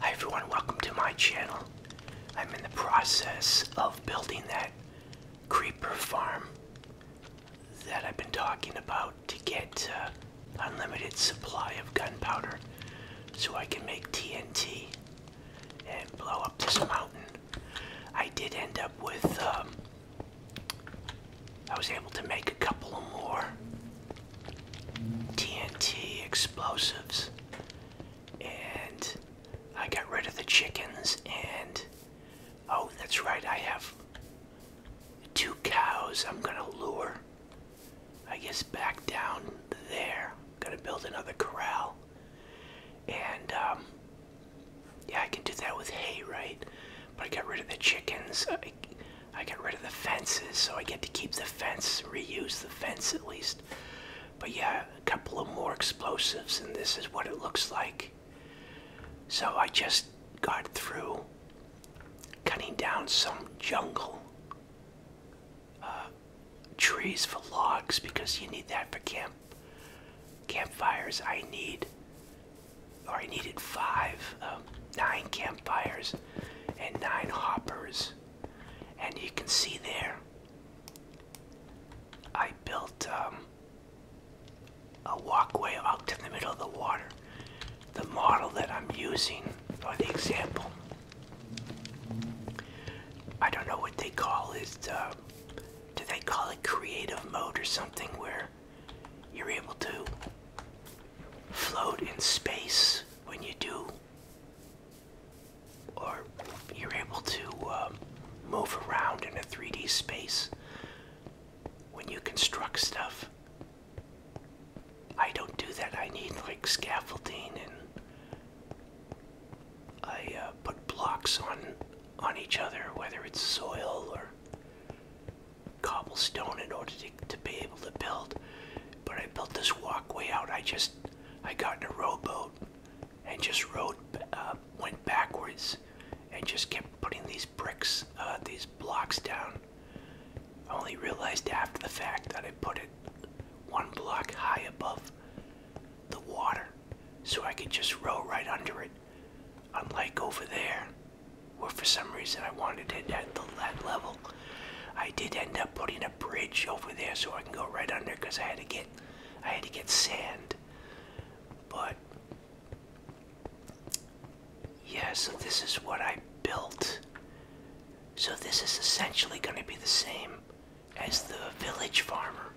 Hi everyone, welcome to my channel. I'm in the process of building that creeper farm that I've been talking about to get uh, unlimited supply of gunpowder so I can make TNT and blow up this mountain. I did end up with um, I was able to make a couple of more TNT explosives and I got rid of the chickens and oh that's right I have two cows I'm gonna lure I guess back down there I'm gonna build another corral and um, yeah I can do that with hay right but I got rid of the chickens I, I got rid of the fences, so I get to keep the fence, reuse the fence at least. But yeah, a couple of more explosives, and this is what it looks like. So I just got through cutting down some jungle uh, trees for logs because you need that for camp campfires. I need, or I needed five, um, nine campfires and nine hoppers. And you can see there, I built um, a walkway out to the middle of the water. The model that I'm using, or the example, I don't know what they call it. Uh, do they call it creative mode or something where you're able to float in space when you do, or you're able to um, move around in a 3D space when you construct stuff. I don't do that. I need like scaffolding and I uh, put blocks on on each other, whether it's soil or cobblestone in order to, to be able to build. But I built this walkway out. I just, I got in a rowboat and just rode uh, went backwards and just kept putting these bricks, uh, these blocks down. I only realized after the fact that I put it one block high above the water so I could just row right under it. Unlike over there, or for some reason I wanted it at the, that level. I did end up putting a bridge over there so I can go right under because I had to get I had to get sand. But yeah, so this is what I built. So this is essentially going to be the same as the village farmer.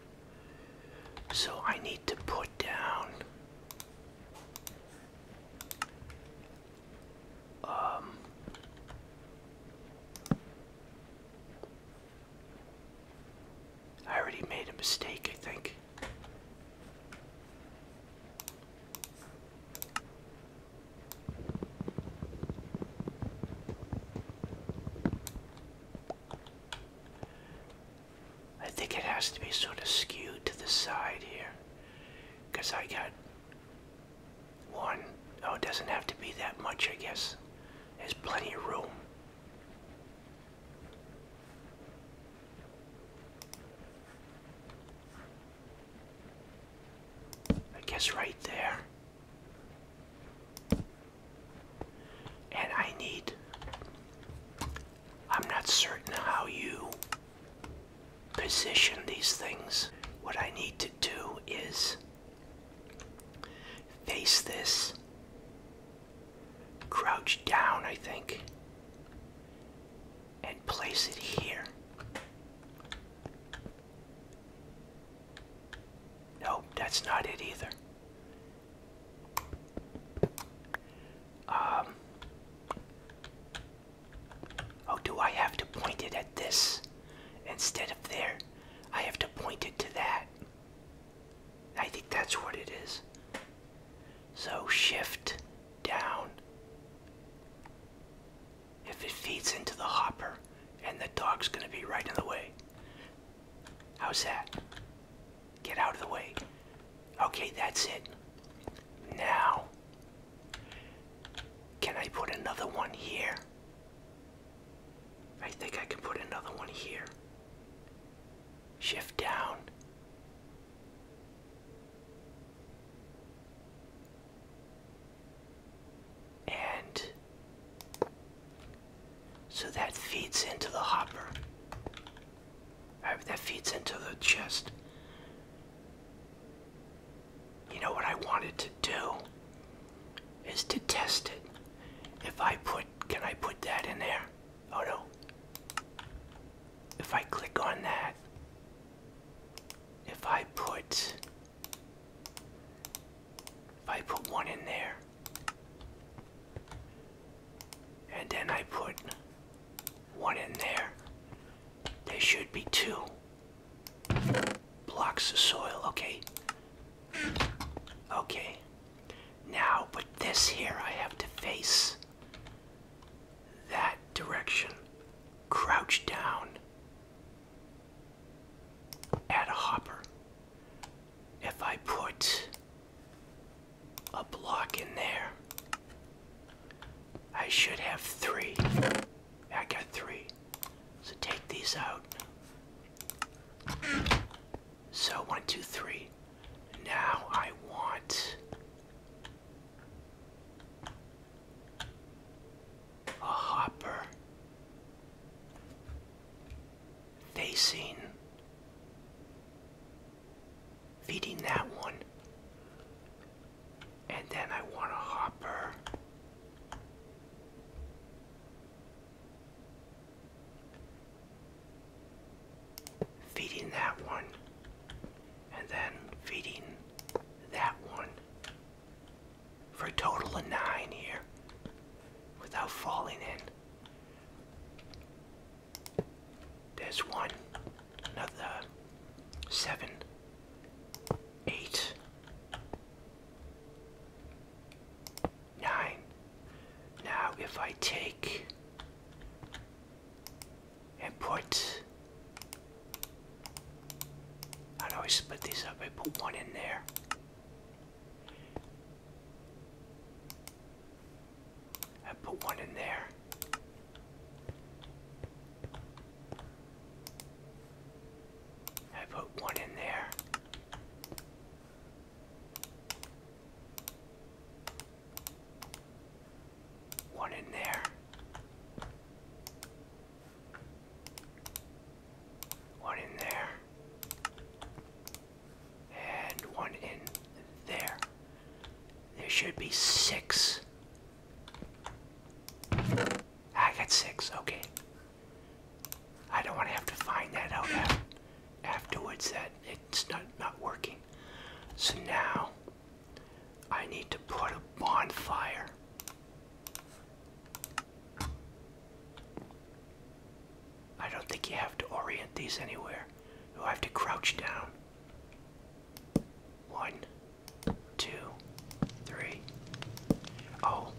So I need to put down um, I already made a mistake, I think. I think it has to be sort of skewed to the side here because I got one, oh, it doesn't have to be that much, I guess. There's plenty of room. I guess right there. And I need. I'm not certain how you position these things, what I need to do is face this, crouch down, I think, and place it here. No, that's not it either. Um, Oh, do I have to point it at this instead of there? I have to point it to that. I think that's what it is. So shift down. If it feeds into the hopper, and the dog's gonna be right in the way. How's that? Get out of the way. Okay, that's it. Now, can I put another one here? I think I can put another one here. Shift down. And so that feeds into the hopper. Uh, that feeds into the chest you know what I wanted to do is to test it. If I put, can I put that in there? Oh no. If I click on that, if I put, if I put one in there, and then I put one in there, there should be two. Blocks the soil, okay. Okay. Now, with this here, I have to face that direction. Crouch down. Add a hopper. If I put a block in there, I should have three. I got three. So take these out. So one, two, three. Now I want. A hopper facing feeding that one and then I want a hopper. Feeding that one. And then feeding that one. For a total of nine here. Without falling in. There's one. Another seven eight, nine. Now, if I take and put, i always split these up. I put one in there. I put one in there. I put one in there. One in there. One in there. And one in there. There should be six I got six, okay. I don't want to have to find that out afterwards that it's not, not working. So now I need to put a bonfire. I don't think you have to orient these anywhere. You have to crouch down. One, two, three. Oh,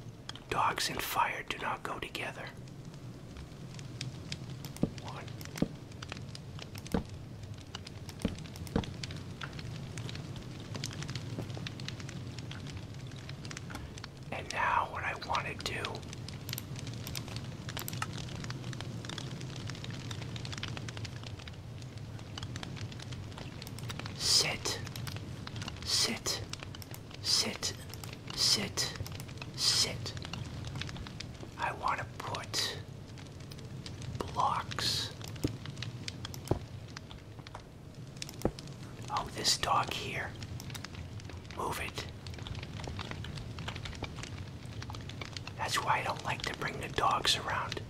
dogs and fire do not go together. One. And now, what I want to do Sit. Sit. Sit. Sit. Sit. I want to put blocks. Oh, this dog here. Move it. That's why I don't like to bring the dogs around.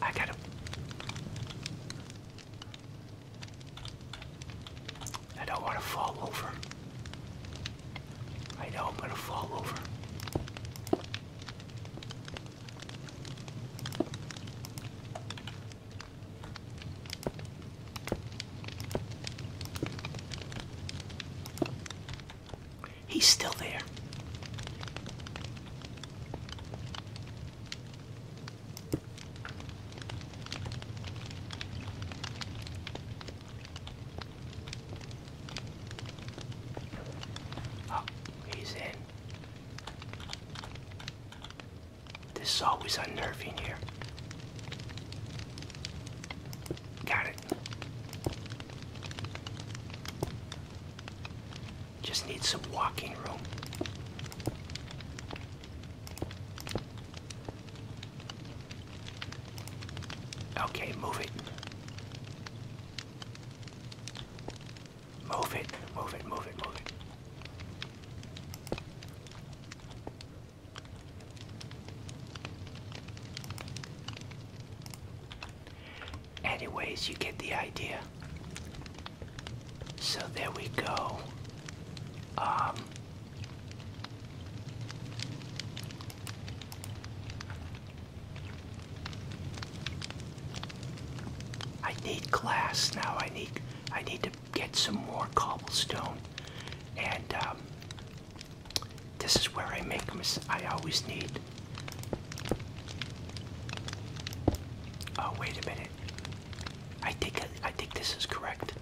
I got him. I don't want to fall over. I know I'm going to fall over. He's still there. Oh, he's in. This is always unnerving here. Got it. Just need some walking room. Okay, move it. Move it, move it, move it, Anyways, you get the idea. So there we go. Um, I need glass now. I need I need to get some more cobblestone, and um, this is where I make mis I always need. Oh wait a minute. I think I think this is correct.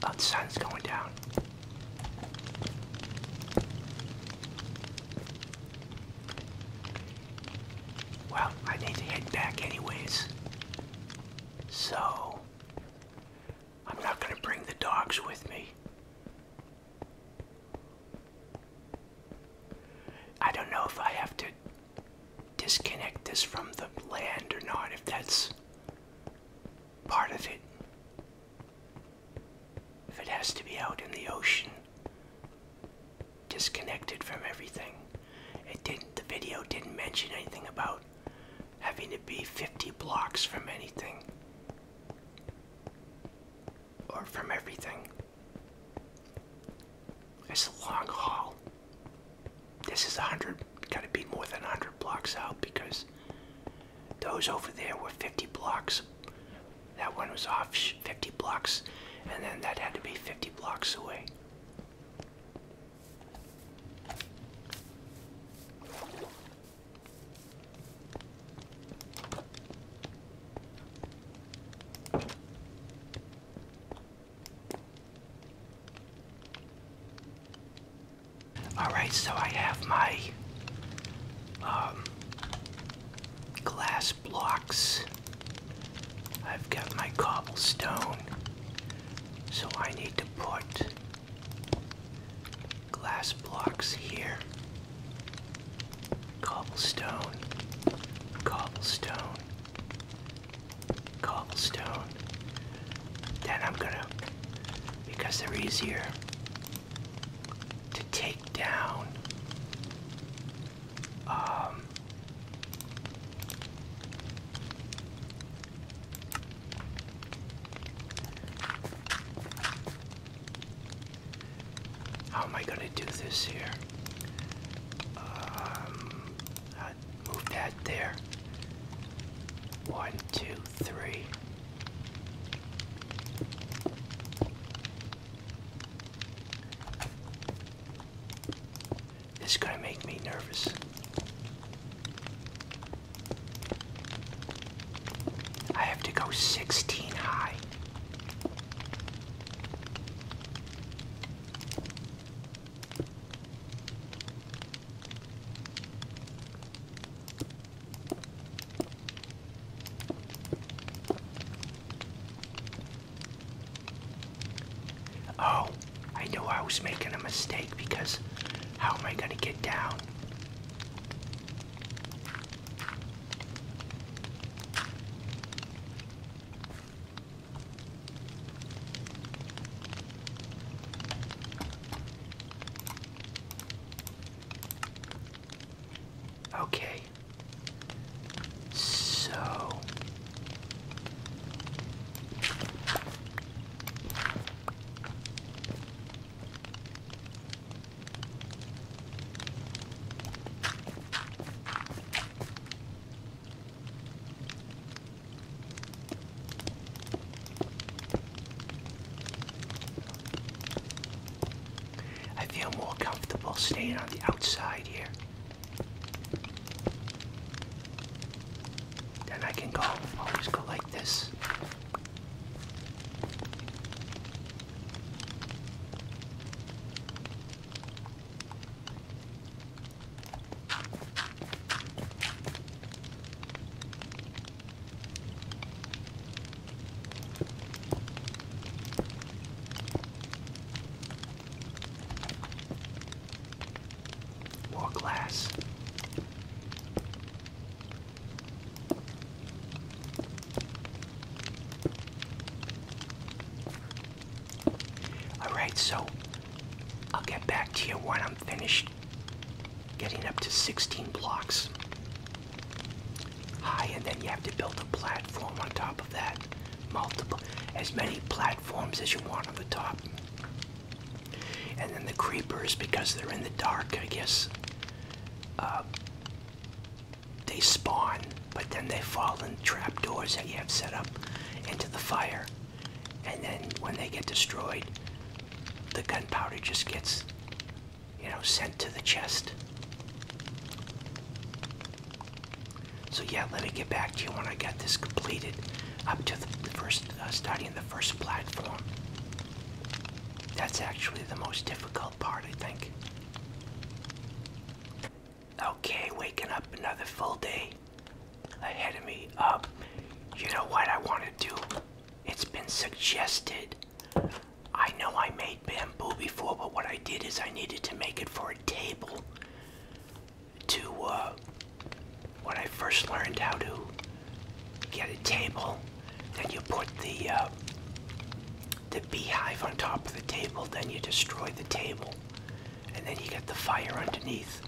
Oh, the sun's going down. Well, I need to head back anyways. So, I'm not going to bring the dogs with me. I don't know if I have to disconnect this from the land or not, if that's part of it. If it has to be out in the ocean, disconnected from everything. It didn't the video didn't mention anything about having to be 50 blocks from anything or from everything. It's a long haul. This is 100, gotta be more than 100 blocks out because those over there were 50 blocks. That one was off 50 blocks, and then that had to be 50 blocks away. All right, so I have my um, glass blocks I've got my cobblestone, so I need to put glass blocks here. Cobblestone, cobblestone, cobblestone. Then I'm gonna, because they're easier to take down. Um, how am I going to do this here? Um, move that there. One, two, three. This is gonna make me nervous. I have to go 16 high. Oh, I know I was making a mistake because how am I going to get down? Okay. So I feel more comfortable staying on the outside here. Then I can go, always go like this. More glass. Alright, so I'll get back to you when I'm finished getting up to 16 blocks high, and then you have to build a platform on top of that. Multiple, as many platforms as you want on the top. And then the creepers, because they're in the dark, I guess, uh, they spawn, but then they fall in trapdoors that you have set up into the fire. And then when they get destroyed, the gunpowder just gets, you know, sent to the chest. So yeah, let me get back to you when I got this completed up to the first uh, studying the first platform. That's actually the most difficult part, I think. Okay, waking up another full day ahead of me. Up. Um, you know what I want to do? It's been suggested. I know I made bamboo before, but what I did is I needed to make it for a table to uh, when I first learned how to get a table. Then you put the uh, the beehive on top of the table. Then you destroy the table, and then you get the fire underneath.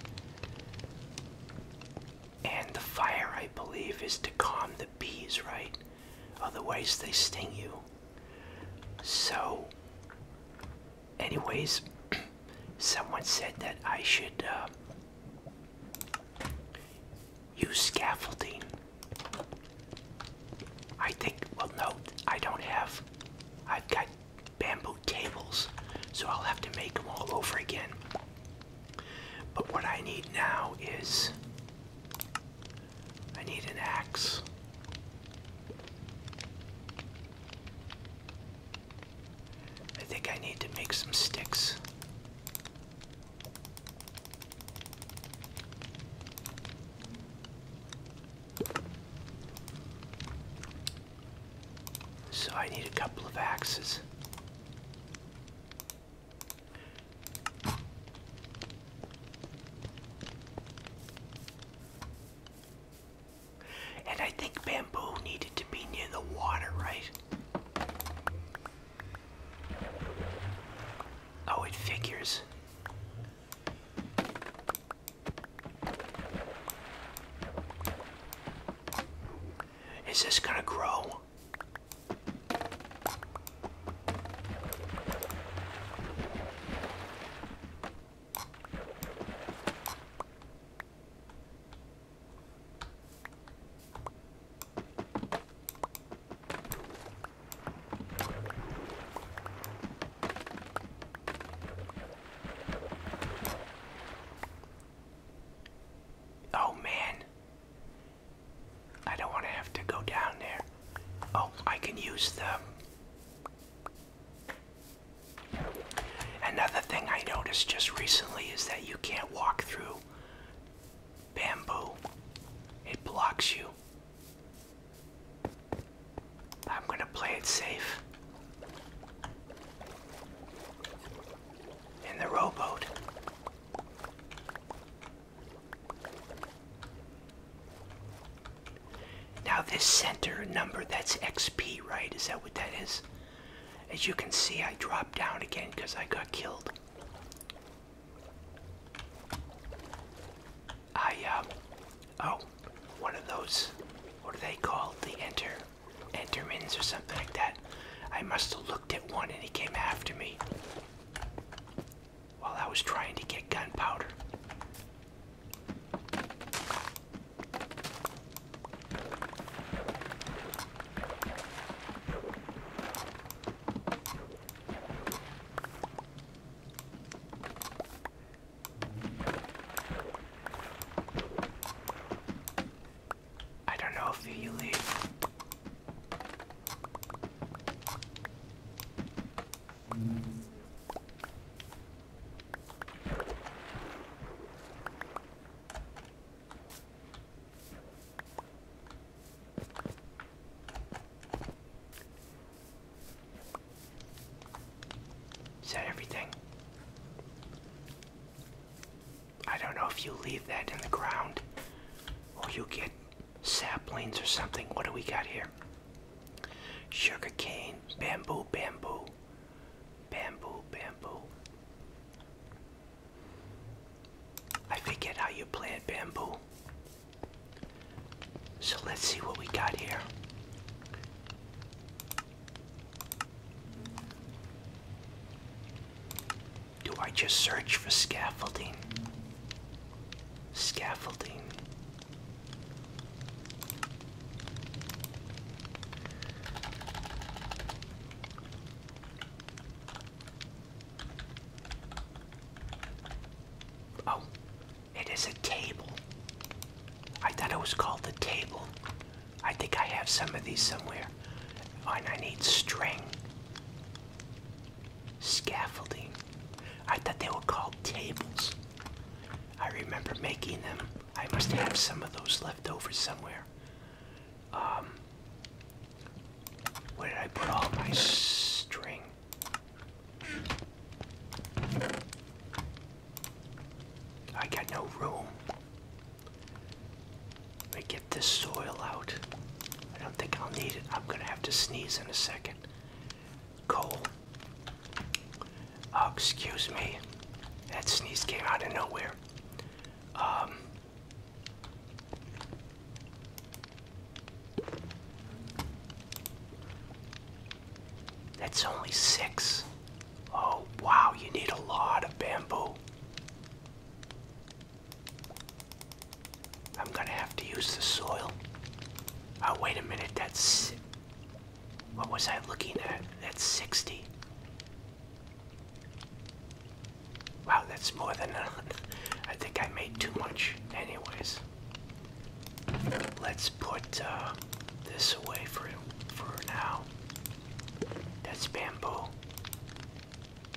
And the fire, I believe, is to calm the bees, right? Otherwise, they sting you. So anyways, someone said that I should uh, use scaffolding. I think, well, no, I don't have, I've got bamboo tables, so I'll have to make them all over again. But what I need now is I need an axe. I think I need to make some sticks. So I need a couple of axes. And I think bamboo needed to be near the water, right? Oh, it figures. Is this gonna grow? Oh man, I don't want to have to go down there. Oh, I can use the Another thing I noticed just recently is that you can't walk through bamboo. It blocks you. I'm going to play it safe. In the rowboat. Now this center number, that's XP, right? Is that what that is? As you can see, I dropped down again because I got killed. I, um, oh, one of those, what are they called? The enter, entermans or something like that. I must have looked at one and he came after me while I was trying to get gunpowder. I don't know if you leave. Is that everything? I don't know if you leave that in the ground or you get saplings or something. What do we got here? Sugar cane, bamboo, bamboo, Bamboo, bamboo. I forget how you plant bamboo. So let's see what we got here. Do I just search for scaffolding? Scaffolding. Oh, it is a table. I thought it was called the table. I think I have some of these somewhere. and I need string. Scaffolding. I thought they were called tables. I remember making them. I must have some of those left over somewhere. Um, where did I put all my string? I got no room. Let me get this soil out. I don't think I'll need it. I'm gonna have to sneeze in a second. Coal. Uh, excuse me. That sneeze came out of nowhere. Um, that's only six. Oh, wow, you need a lot of bamboo. I'm gonna have to use the soil. Oh, wait a minute, that's. What was I looking at? That's 60. Wow, that's more than enough. I think I made too much. Anyways, let's put uh, this away for for now. That's bamboo.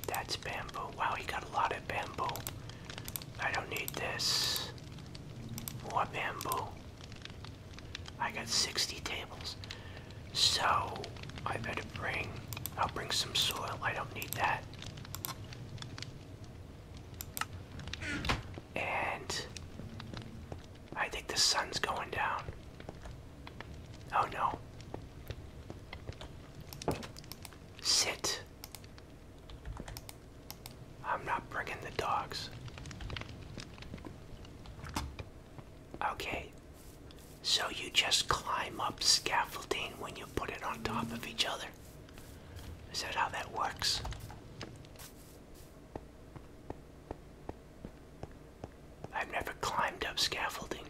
That's bamboo. Wow, he got a lot of bamboo. I don't need this. More bamboo. I got 60 tables. So I better bring, I'll bring some soil. I don't need that. And I think the sun's going down. Oh no. Sit. I'm not bringing the dogs. Okay, so you just climb up scaffolding when you put it on top of each other. Is that how that works? I've never climbed up scaffolding.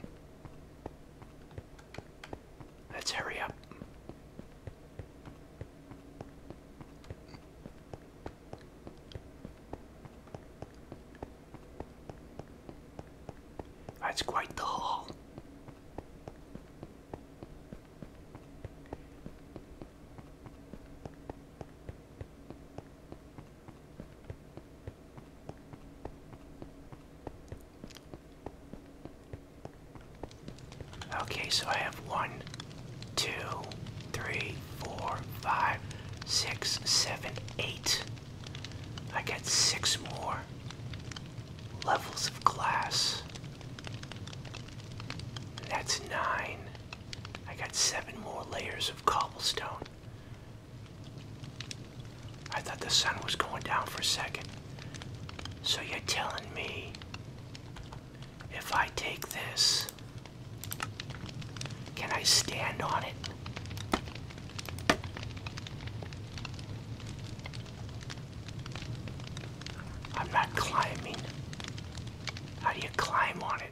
Let's hurry up. That's quite the haul. Okay, so I have one, two, three, four, five, six, seven, eight. I got six more levels of glass. That's nine. I got seven more layers of cobblestone. I thought the sun was going down for a second. So you're telling me if I take this can I stand on it? I'm not climbing. How do you climb on it?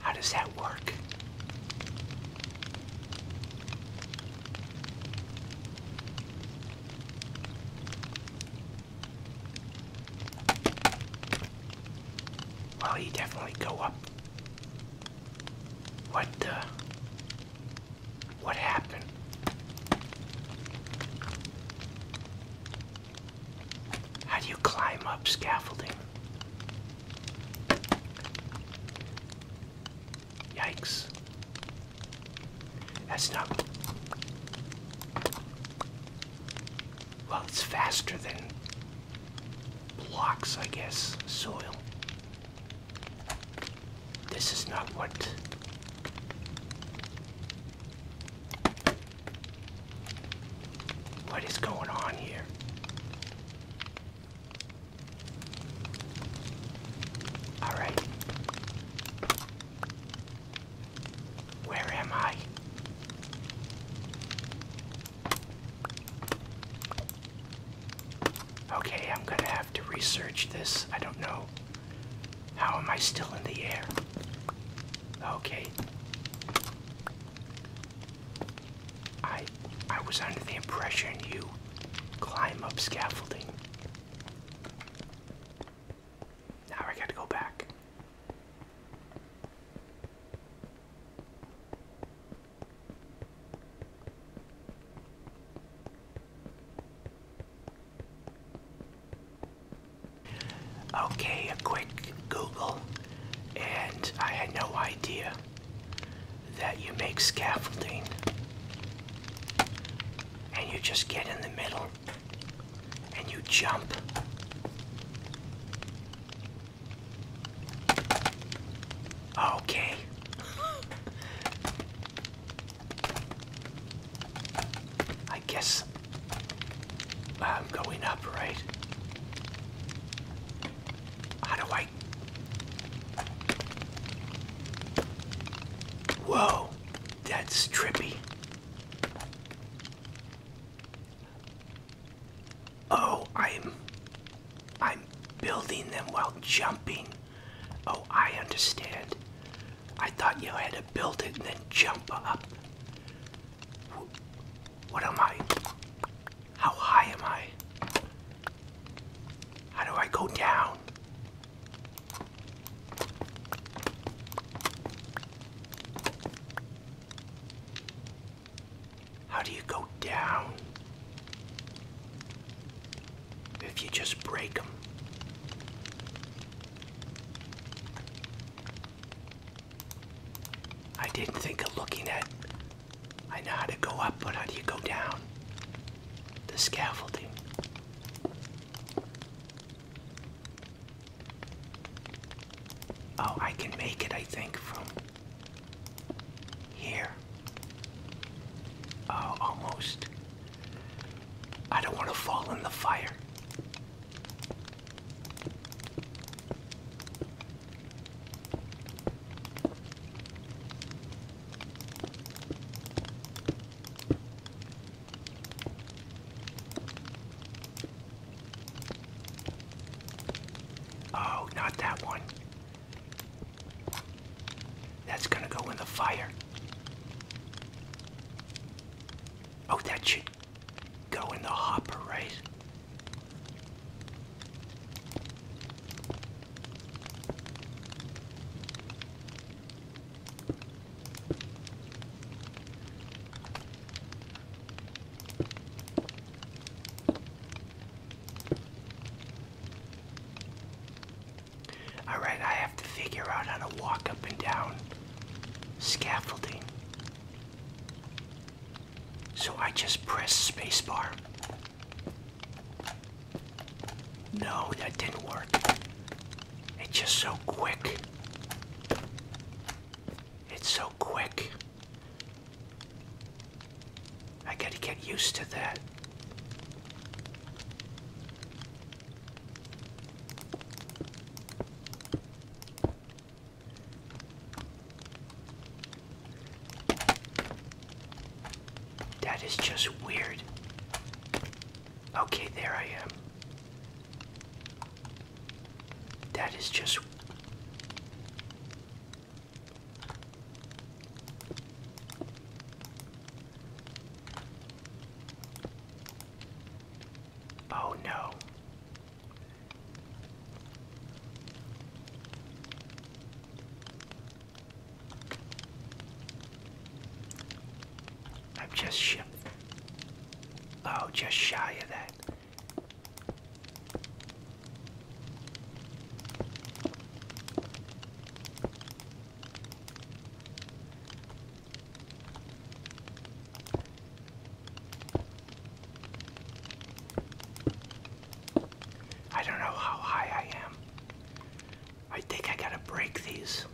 How does that work? Well, he definitely go up. What, uh, what happened? How do you climb up scaffolding? Yikes. That's not. Well, it's faster than blocks, I guess, soil. This is not what. What is going on here? All right. Where am I? Okay, I'm gonna have to research this. I don't know. How am I still in the air? Okay. I I was under the impression you climb up scaffolding. Now I gotta go back. Okay, a quick Google, and I had no idea that you make scaffolding and you just get in the middle and you jump. Okay. I guess I'm going up, right? How do I? Whoa. That's trippy. Oh, I'm I'm building them while jumping. Oh, I understand. I thought you had to build it and then jump up. What am I? How high am I? How do I go down? How do you go down? If you just break them. I didn't think of looking at. I know how to go up, but how do you go down? the scaffolding. Oh, I can make it, I think, from here. Oh, almost. I don't want to fall in the fire. Oh, not that one. That's gonna go in the fire. Oh, that should go in the hopper, right? Alright, I have to figure out how to walk up and down scaffolding. So I just press spacebar. No, that didn't work. It's just so quick. It's so quick. I gotta get used to that. That is just weird. Okay, there I am. That is just. Oh no. I'm just sh oh, just shy of that. I don't know how high I am. I think I gotta break these.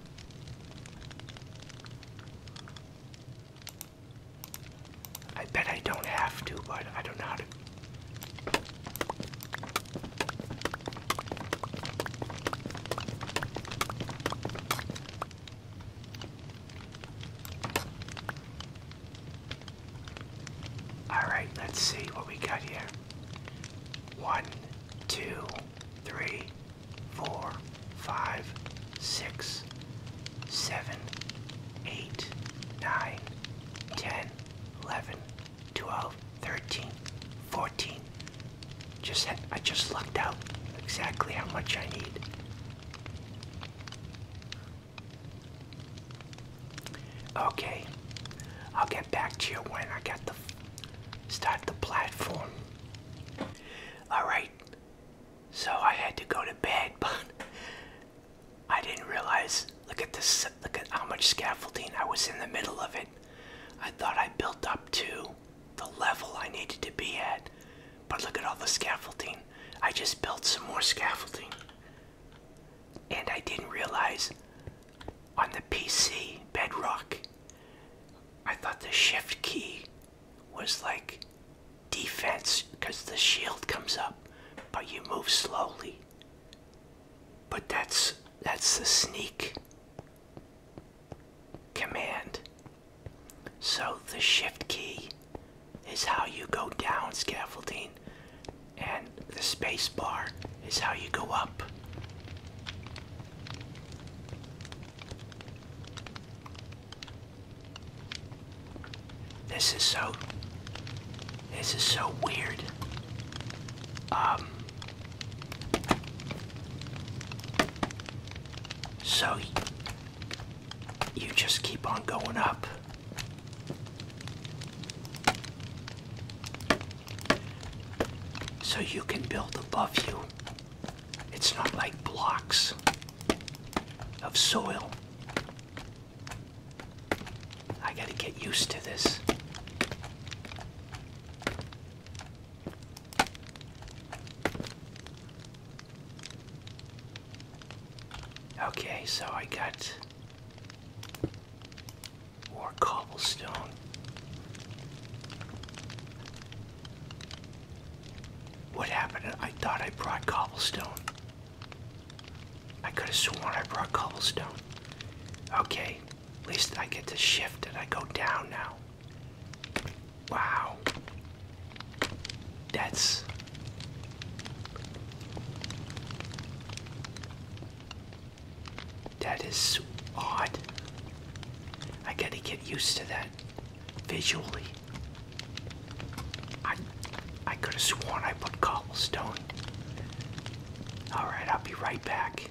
I bet I don't have to, but I don't know how to. Alright, let's see what we got here. One, two, three four, five, six, seven, eight, nine, ten, eleven, twelve, thirteen, fourteen. Just I just lucked out exactly how much I need. Okay, I'll get back to you when I get the start the platform. Alright, so I had to go to bed, but I didn't realize. Look at this, look at how much scaffolding I was in the middle of it. I thought I built up to the level I needed to be at, but look at all the scaffolding. I just built some more scaffolding. And I didn't realize on the PC Bedrock, I thought the shift key was like defense because the shield comes up, but you move slowly. But that's that's the sneak command. So the shift key is how you go down scaffolding and the space bar is how you go up. This is so, this is so weird. Um, so you just keep on going up so you can build above you. It's not like blocks of soil. I gotta get used to this. Okay, so I got more cobblestone. What happened? I thought I brought cobblestone. I could have sworn I brought cobblestone. Okay, at least I get to shift and I go down now. Wow. That's. That is odd. I gotta get used to that visually. I I could have sworn I put cobblestone. Alright, I'll be right back.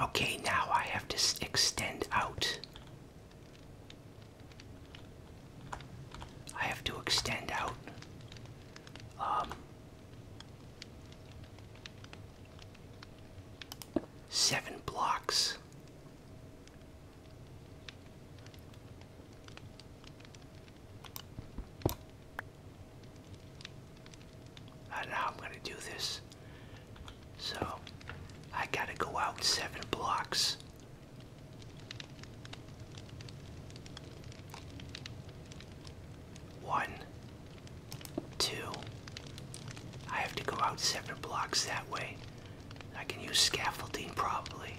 Okay, now I have to extend out I have to extend out. Um, seven blocks. I don't know how I'm going to do this. So I got to go out seven blocks one, two. I have to go out seven blocks that way. I can use scaffolding probably.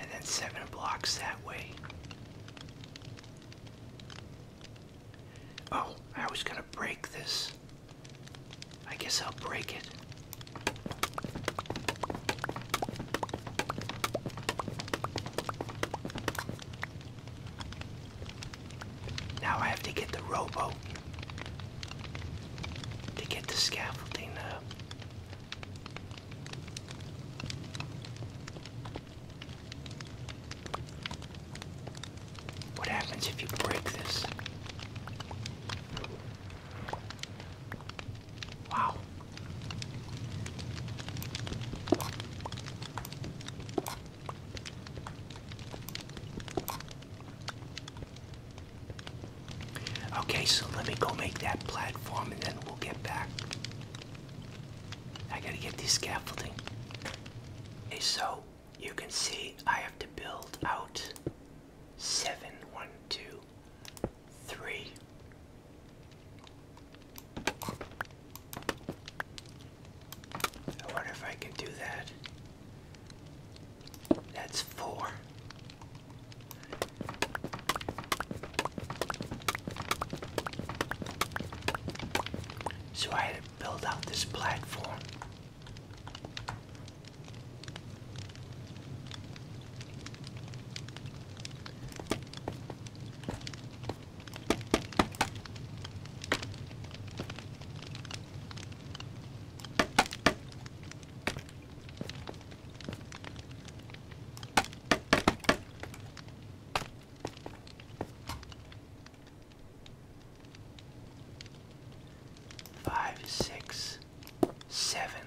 And then seven blocks that way. Oh, I was gonna break this. I guess I'll break it. Now I have to get the rowboat to get the scaffolding up. Uh, what happens if you break this? Wow. Okay, so let me go make that platform and then we'll get back. I gotta get the scaffolding. Okay, so you can see I have to build out seven, one, two, three. I wonder if I can do that. That's four. So I had to build out this platform. Five, six, seven,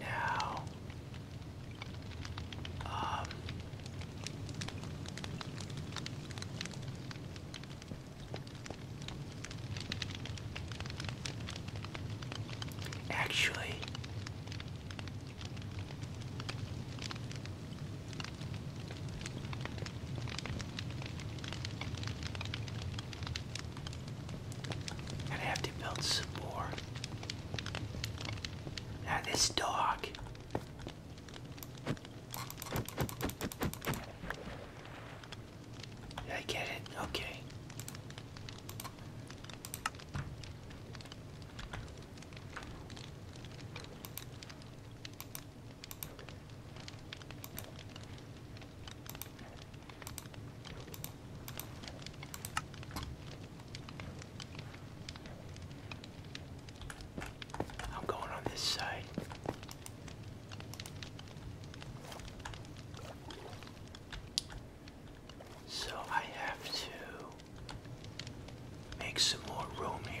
Now, um, actually, going have to build some more. Now this dog I get it? Okay. I'm going on this side. So I have to make some more room here.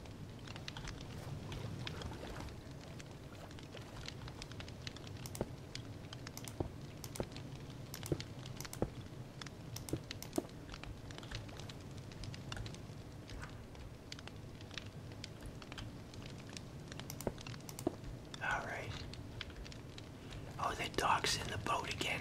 All right. Oh, the dog's in the boat again.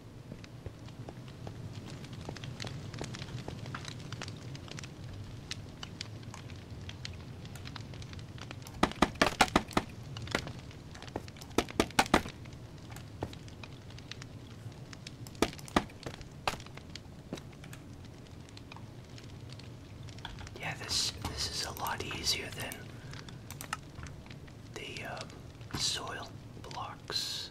Yeah, this this is a lot easier than the uh, soil blocks.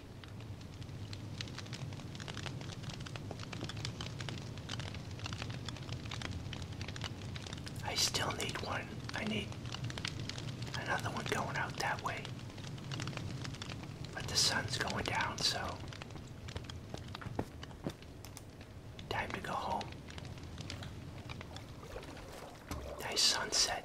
I still need one. I need another one going out that way. But the sun's going down, so time to go home. Nice sunset.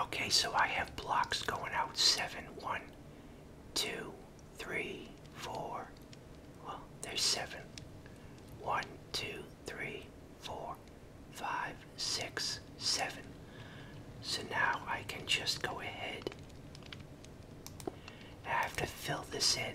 Okay, so I have blocks going out seven, one, two, three, four. Well, there's seven. One, two, three, four, five, six, seven. So now I can just go ahead. I have to fill this in.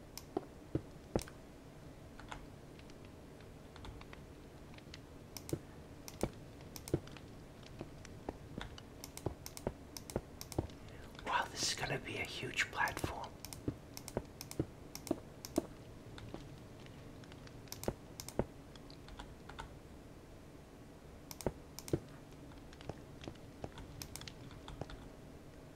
Wow, this is going to be a huge platform.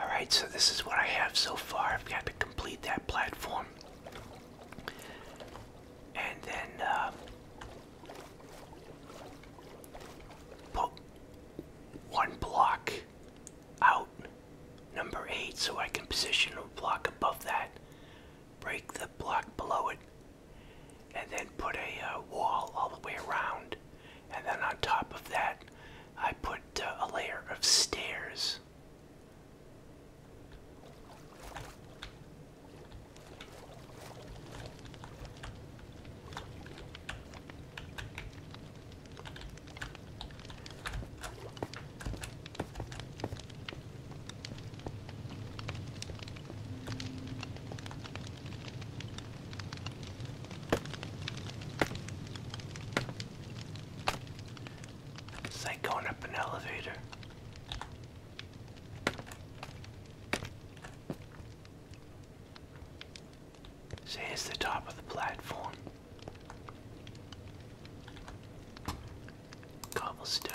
Alright, so this is what I have so far. I've got to complete that platform. And then uh, Put one block out, number eight, so I can position a block above that, break the block below it, and then put a uh, wall all the way around. And then on top of that, I put uh, a layer of stairs. It's like going up an elevator. So it's the top of the platform. Cobblestone.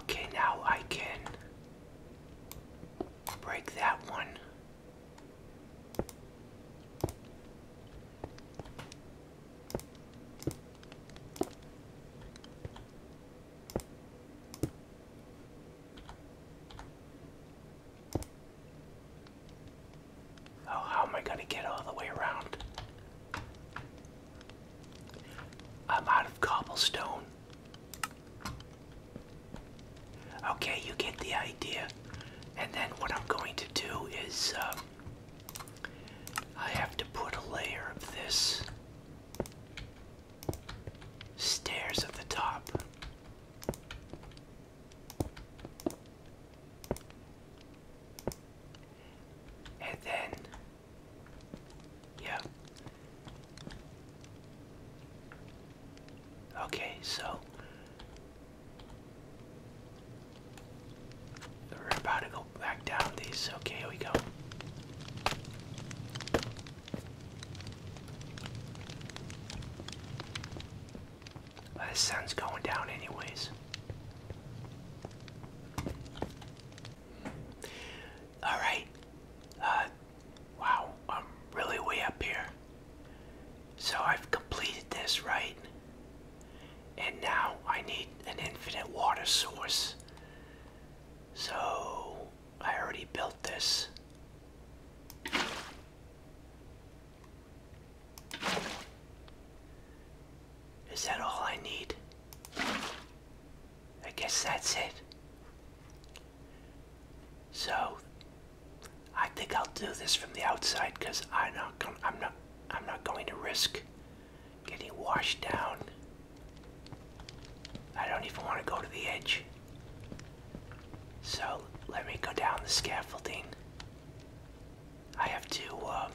Okay, now I can break that one Oh, how am I going to get all the way around? I'm out of cobblestone. Okay, you get the idea. And then what I'm going to do is um, I have to put a layer of this stairs at the top. And then, yeah. Okay, so we're about to go back down these. Okay, here we go. the sun's going down anyways. Alright. Uh, wow, I'm really way up here. So I've completed this, right? And now I need an infinite water source. So I already built this. Is that all I need? I guess that's it. So I think I'll do this from the outside because I'm not going I'm not I'm not going to risk getting washed down. I don't even want to go to the edge. So let me go down the scaffolding. I have to um,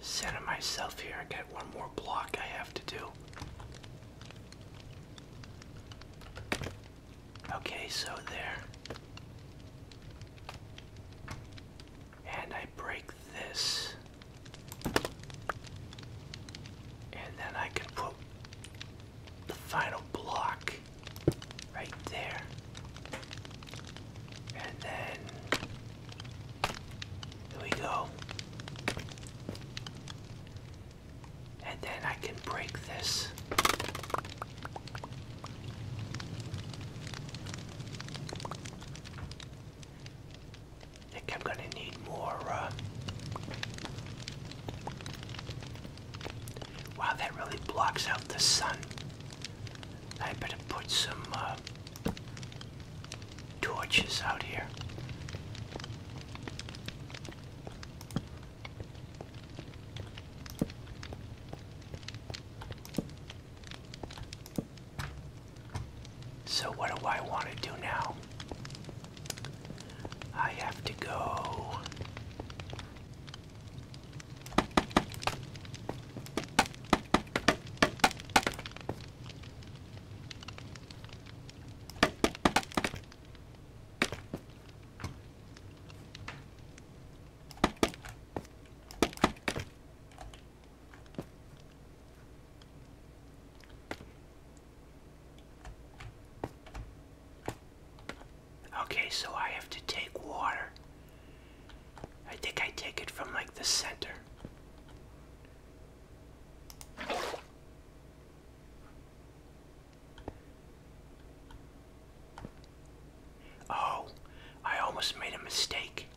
center myself here. I got one more block I have to do. Okay, so there. And I break this. And then I can put the final block right there. And then there we go. And then I can break this. think I'm gonna need more, uh, Wow, that really blocks out the sun. I better put some, uh, torches out here. So, what do I want to do now? I have to go. Okay, so I have to take water. I think I take it from like the center. Oh, I almost made a mistake.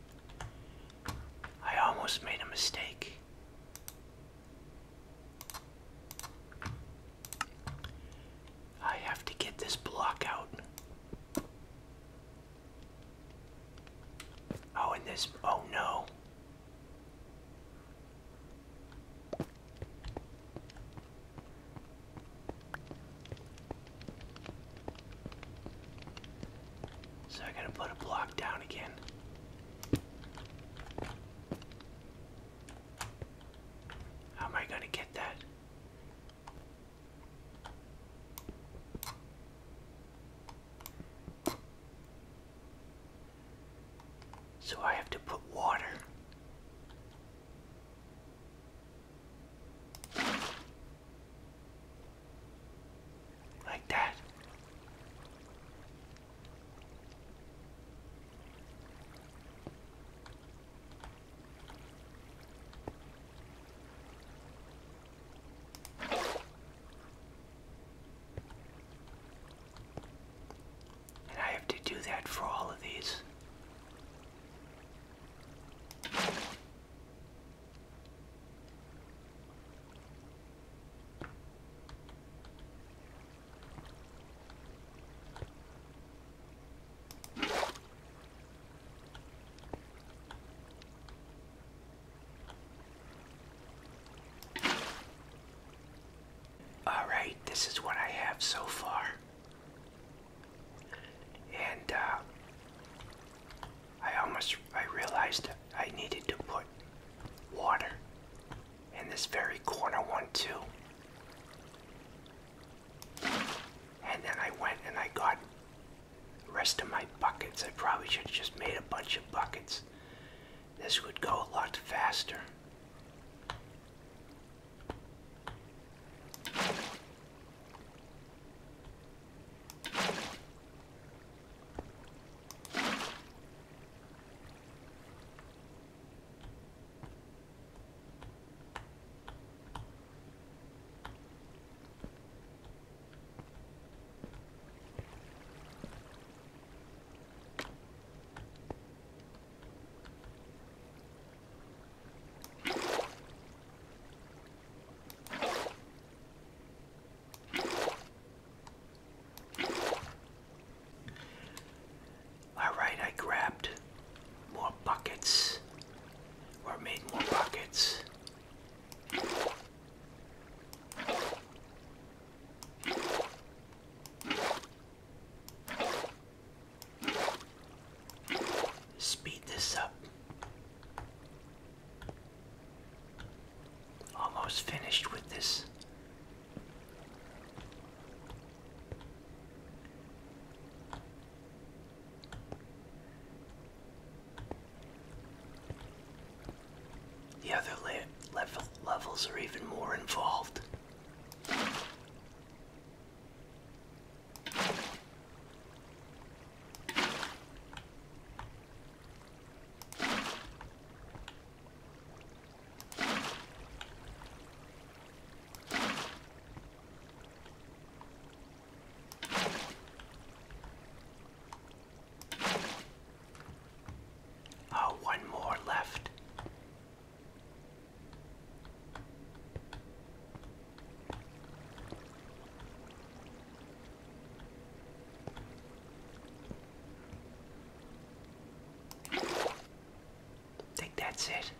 I almost made a mistake. I have to get this block out. Oh, in this. Oh no. So I gotta put a block down again. How am I gonna get that? So I have to put water like that. And I have to do that for all of these. All right, this is what I have so far. And uh, I almost I realized I needed to put water in this very corner one too. And then I went and I got rest of my buckets. I probably should have just made a bunch of buckets. This would go a lot faster. All right, I grabbed more buckets or made more buckets Speed this up. Almost finished with this. The other level levels are even more involved. Oh, one more left. think that's it.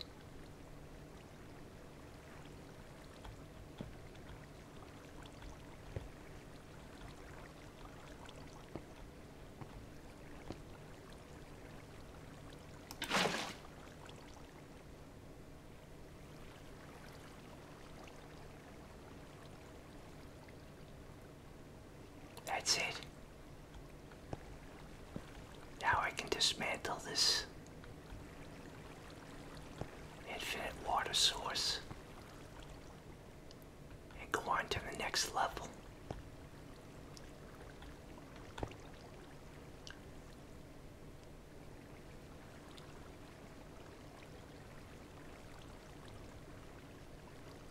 That's it. Now I can dismantle this infinite water source and go on to the next level.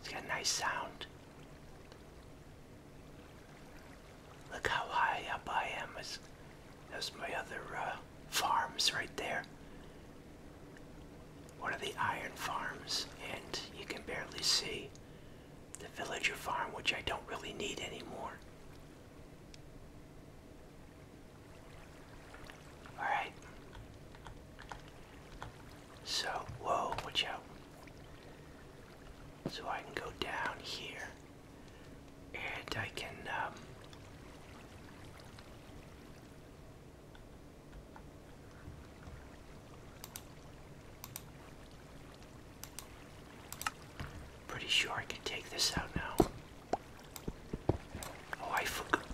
It's got a nice sound. Look how high up I am. There's my other uh, farms right there one of the iron farms, and you can barely see the villager farm, which I don't really need anymore. Alright. So, whoa, watch out. So I can go down here and I can, um, Pretty sure I can take this out now. Oh, I forgot.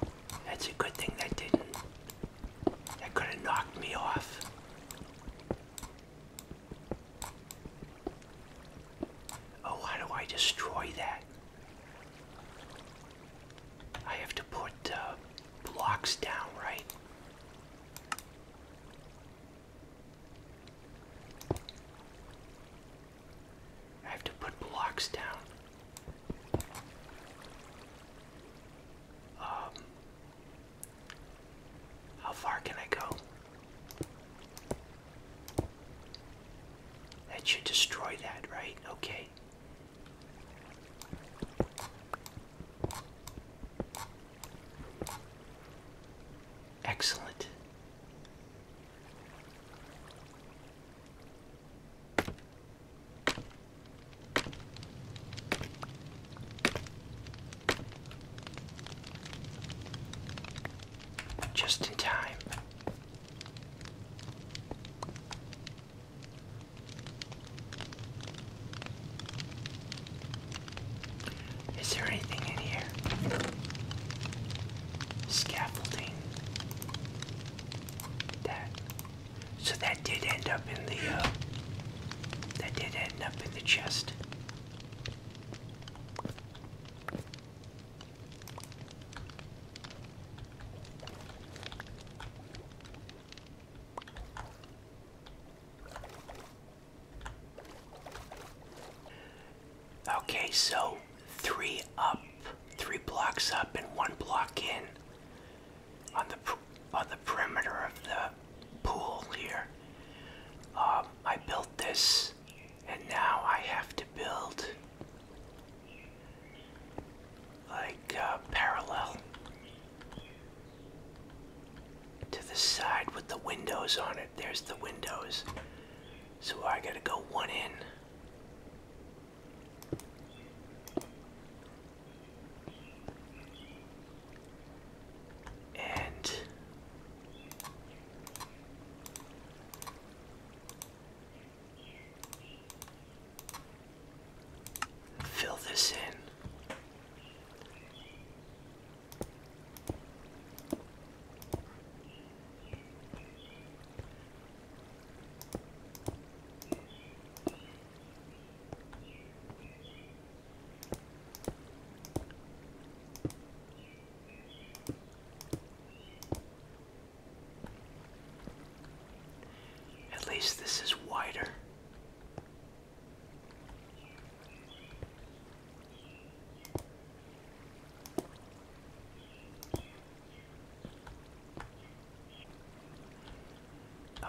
That's a good thing that didn't. That could have knocked me off. Oh, how do I destroy that? I have to put uh, blocks down, right? I have to put blocks down. Um, how far can I go? That should destroy that, right? Okay. Excellent. Just in time. Is there anything in here? Scaffolding. That. So that did end up in the, uh, that did end up in the chest. Okay, so three up, three blocks up, and one block in on the on the perimeter of the pool here. Um, I built this, and now I have to build like uh, parallel to the side with the windows on it. There's the windows. So I gotta go one in. And Fill this in. At least this is wider.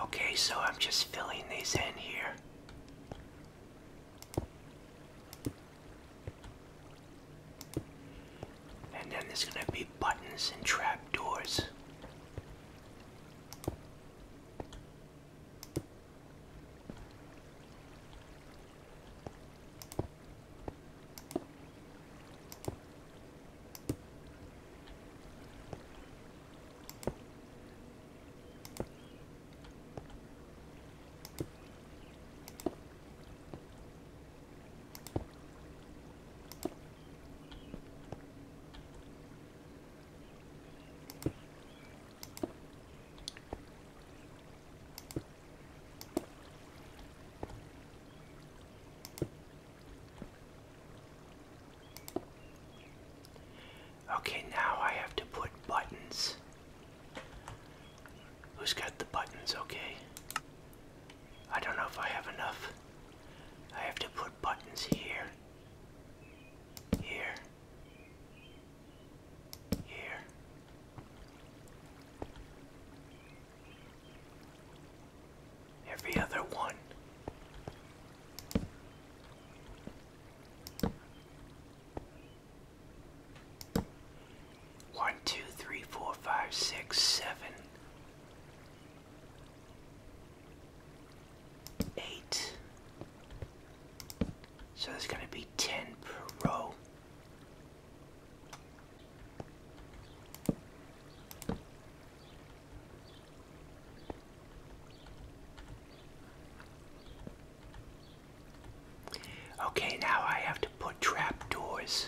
Okay, so I'm just filling these in here. And then there's going to be buttons and trapdoors. Okay, now I have to put buttons. Who's got the buttons? Okay. I don't know if I have enough. I have to put buttons here, here, here. Every other one. One, two, three, four, five, six, seven eight. So there's going to be 10 per row. Okay, now I have to put trapdoors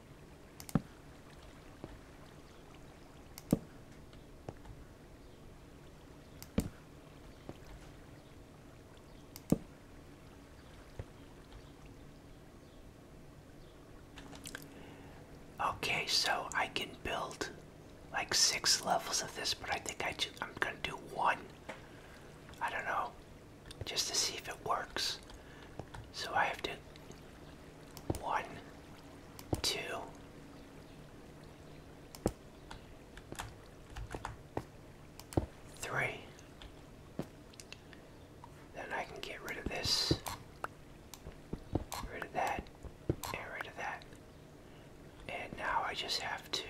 Okay, so I can build like six levels of this, but I think I am gonna do one. I don't know just to see if it works. So I have to one, two, three. Then I can get rid of this, rid of that, and rid of that. And now I just have to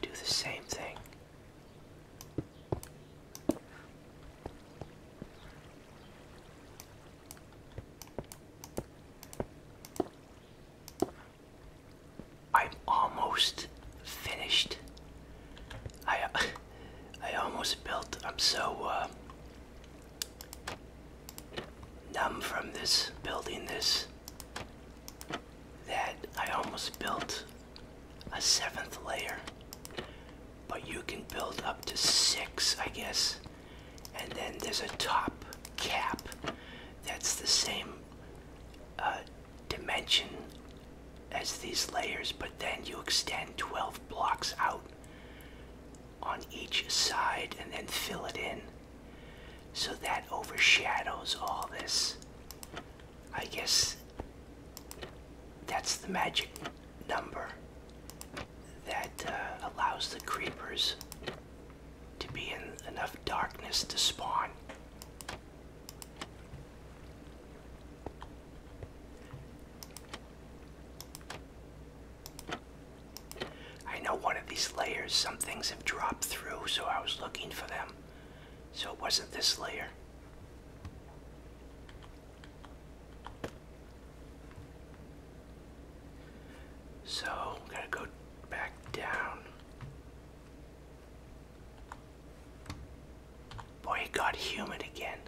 do the same thing. I'm almost finished. I I almost built. I'm so uh, numb from this building this that I almost built a seventh layer. But you can build up to six, I guess. And then there's a top cap that's the same uh, dimension as these layers, but then you extend 12 blocks out on each side and then fill it in. So that overshadows all this. I guess that's the magic number that uh, allows the creepers to be in enough darkness to spawn. I know one of these layers, some things have dropped through, so I was looking for them. So it wasn't this layer. So, gotta go back down. Boy, it got humid again.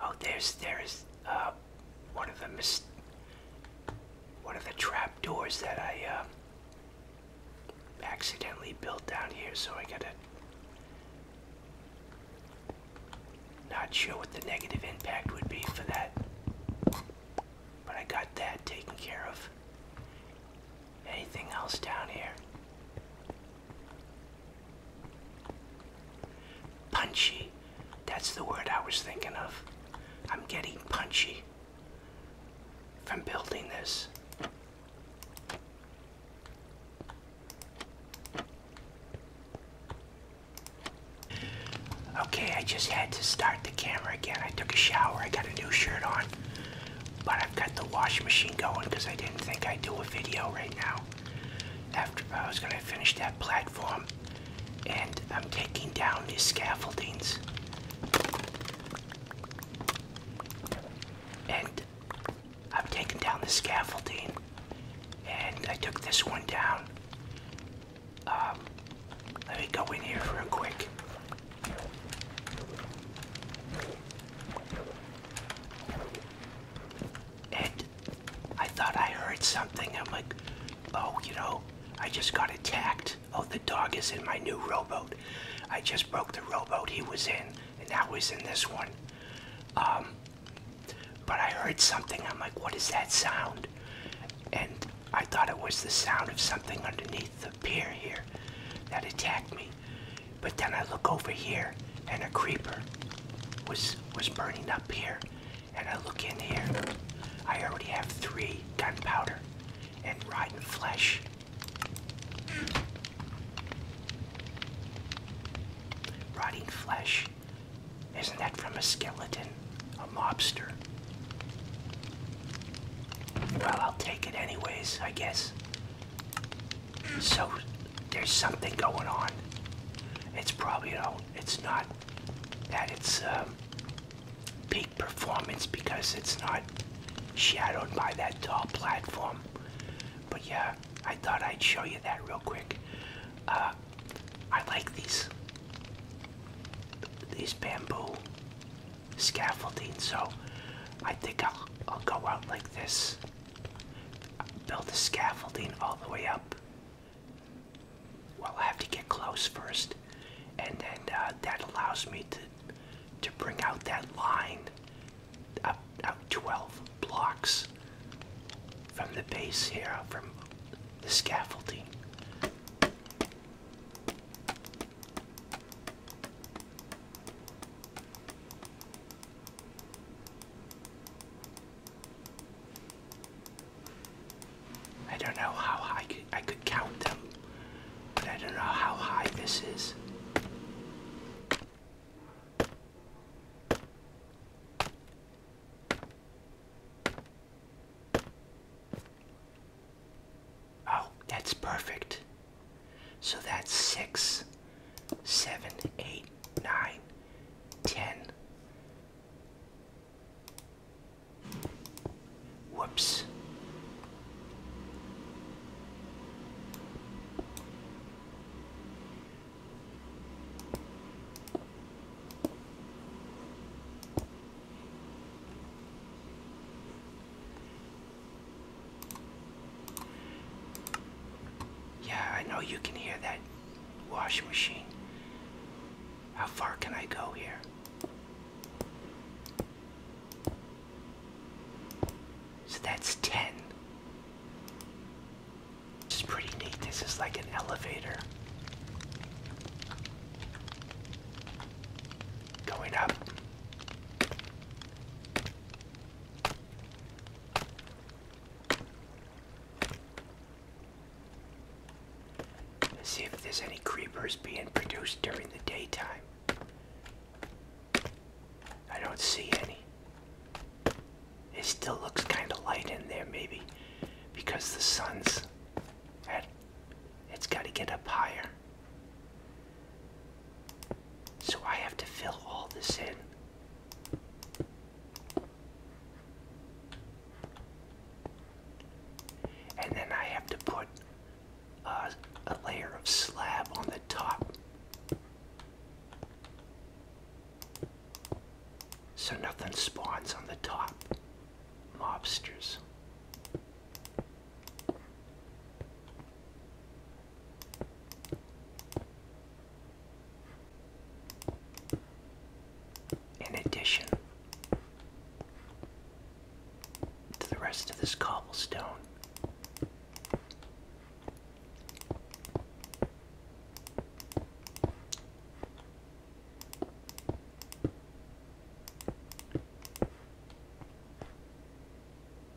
Oh, there's there's uh, one of the mis one of the trap doors that I uh, accidentally built down here, so I gotta. Not sure what the negative impact would be for that, but I got that taken care of. Anything else down here? Punchy. That's the word I was thinking of. I'm getting punchy from building this. Okay, I just had to start the camera again. I took a shower. I got a new shirt on. But I've got the washing machine going because I didn't think I'd do a video right now. After I was going to finish that platform, and I'm taking down these scaffoldings. And I'm taking down the scaffolding, and I took this one down. Um, let me go in here real quick. And I thought I heard something. I'm like, oh, you know, I just got attacked. Oh, the dog is in my new rowboat. I just broke the rowboat he was in, and now he's in this one. Um, but I heard something. I'm like, what is that sound? And I thought it was the sound of something underneath the pier here that attacked me. But then I look over here and a creeper was was burning up here. And I look in here. I already have three gunpowder and rotten flesh. Rotting flesh. Isn't that from a skeleton? A mobster? Well, I'll take it anyways, I guess. So there's something going on. It's probably, you know, it's not that its um, peak performance because it's not shadowed by that tall platform. But yeah, I thought I'd show you that real quick. Uh, I like these these bamboo scaffolding, so I think I'll, go out like this, build the scaffolding all the way up. Well, I have to get close first, and then uh, that allows me to to bring out that line up, up 12 blocks from the base here, from the scaffolding. I don't know how high I could, count them, but I don't know how high this is. Oh, that's perfect. So that's six, seven, eight, nine, ten. Whoops. Yeah, I know you can hear that washing machine. How far can I go here? So that's 10. This is pretty neat. This is like an elevator. Going up. Let's see if there's any creepers being produced during the daytime. I don't see any. It still looks kind of light in there, maybe because the sun's at it's got to get up higher. So I have to fill all this in. And then I have to put a layer of slab on the top. So nothing spawns on the top. Mobsters. In addition to the rest of this cobblestone,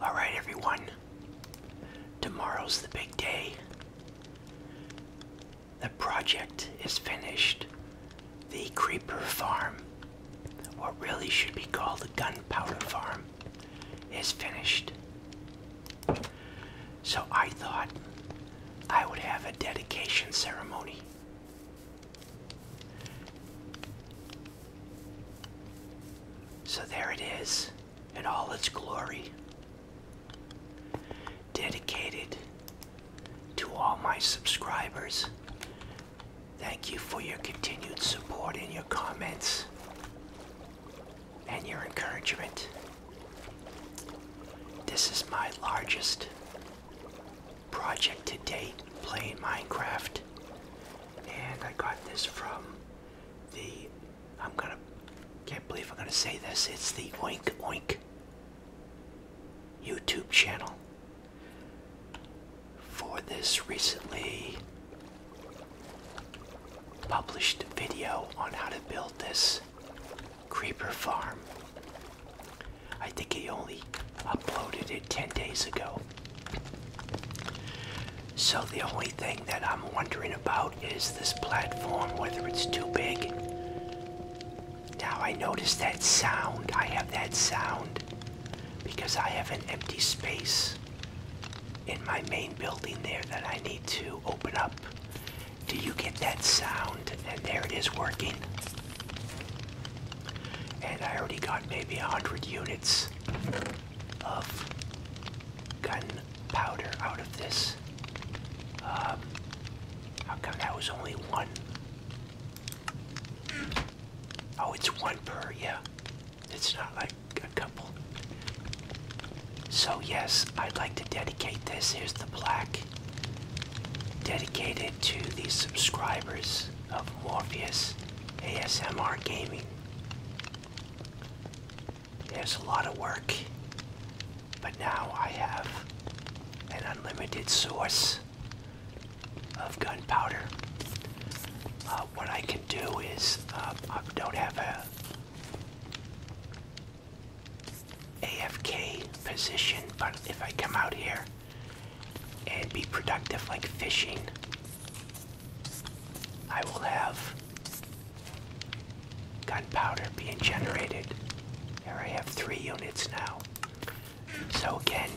All right, everyone. Tomorrow's the big day. The project is finished. The Creeper Farm, what really should be called the Gunpowder Farm, is finished. So I thought I would have a dedication ceremony. So there it is in all its glory. Dedicated to all my subscribers. Thank you for your continued support and your comments and your encouragement. This is my largest project to date playing Minecraft and I got this from the, I'm gonna, can't believe I'm gonna say this, it's the Oink Oink YouTube channel. For this recently published video on how to build this creeper farm. I think he only uploaded it 10 days ago. So the only thing that I'm wondering about is this platform, whether it's too big. Now I notice that sound. I have that sound because I have an empty space in my main building there that I need to open up. Do you get that sound? And there it is working and I already got maybe a hundred units of gunpowder out of this. Um, how come that was only one? Oh, it's one per, yeah. It's not like a couple. So yes, I'd like to dedicate this. Here's the plaque. Dedicated to these subscribers of Morpheus ASMR Gaming. There's a lot of work, but now I have an unlimited source of gunpowder. Uh, what I can do is uh, I don't have a AFK position, but if I come out here and be productive like fishing, I will have gunpowder being generated. There I have three units now. So again,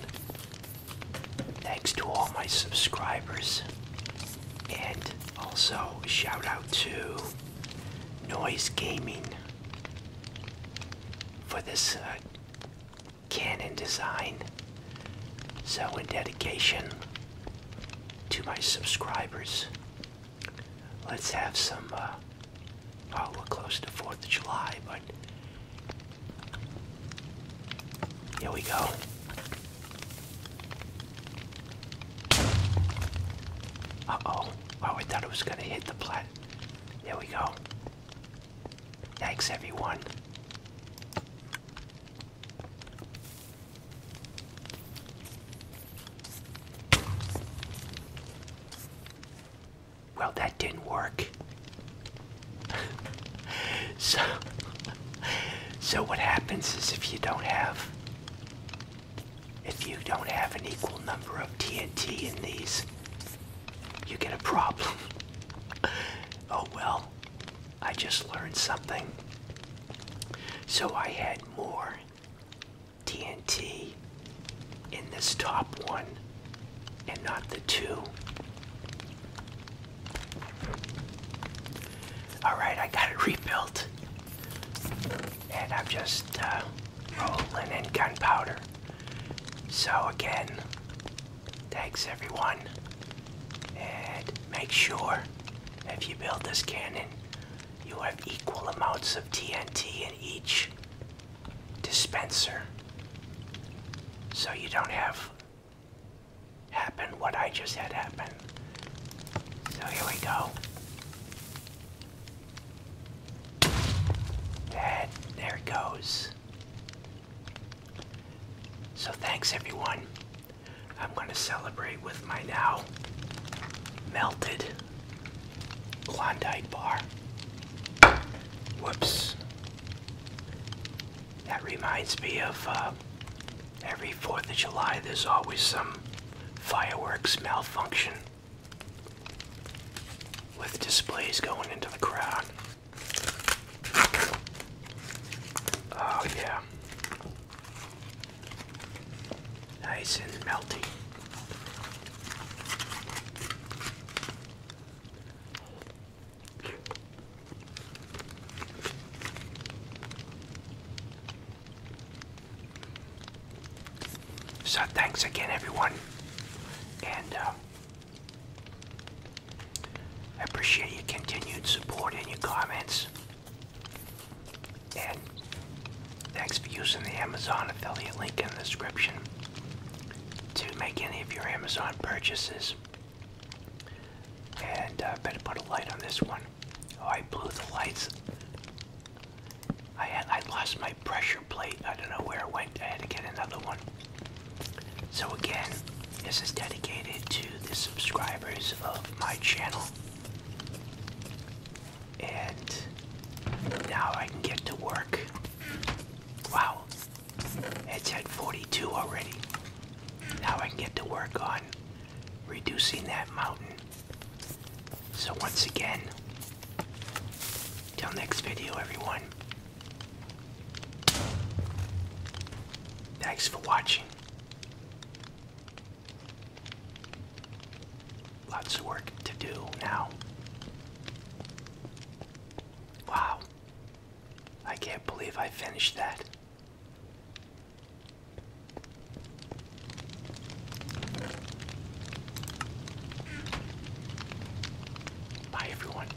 thanks to all my subscribers and also shout out to Noise Gaming for this uh, Canon design. So in dedication to my subscribers, let's have some, uh, oh, we're close to 4th of July, but here we go. Uh-oh. Oh, I thought it was going to hit the plat. There we go. Thanks, everyone. Well, that didn't work. so, so what happens is if you don't have, if you don't have an equal number of TNT in these, you get a problem. oh well, I just learned something. So I had more TNT in this top one and not the two. Alright, I got it rebuilt. And I'm just uh, rolling in gunpowder. So again, Thanks everyone. And make sure if you build this cannon, you have equal amounts of TNT in each dispenser. So you don't have happen what I just had happen. So here we go. And there it goes. So thanks everyone. I'm going to celebrate with my now melted Klondike bar. Whoops. That reminds me of uh, every 4th of July there's always some fireworks malfunction with displays going into the crowd. Oh, yeah. Nice and melty. So, thanks again, everyone. And uh, I appreciate your continued support and your comments. And thanks for using the Amazon affiliate link in the description to make any of your Amazon purchases. And I uh, better put a light on this one. Oh, I blew the lights. I had I lost my pressure plate. I don't know where it went. I had to get another one. So again, this is dedicated to the subscribers of my channel. And now I can get to work. Wow, it's at 42 already. Now I can get to work on reducing that mountain. So once again, till next video everyone, Thanks for watching. Lots of work to do now. Wow. I can't believe I finished that. Bye, everyone.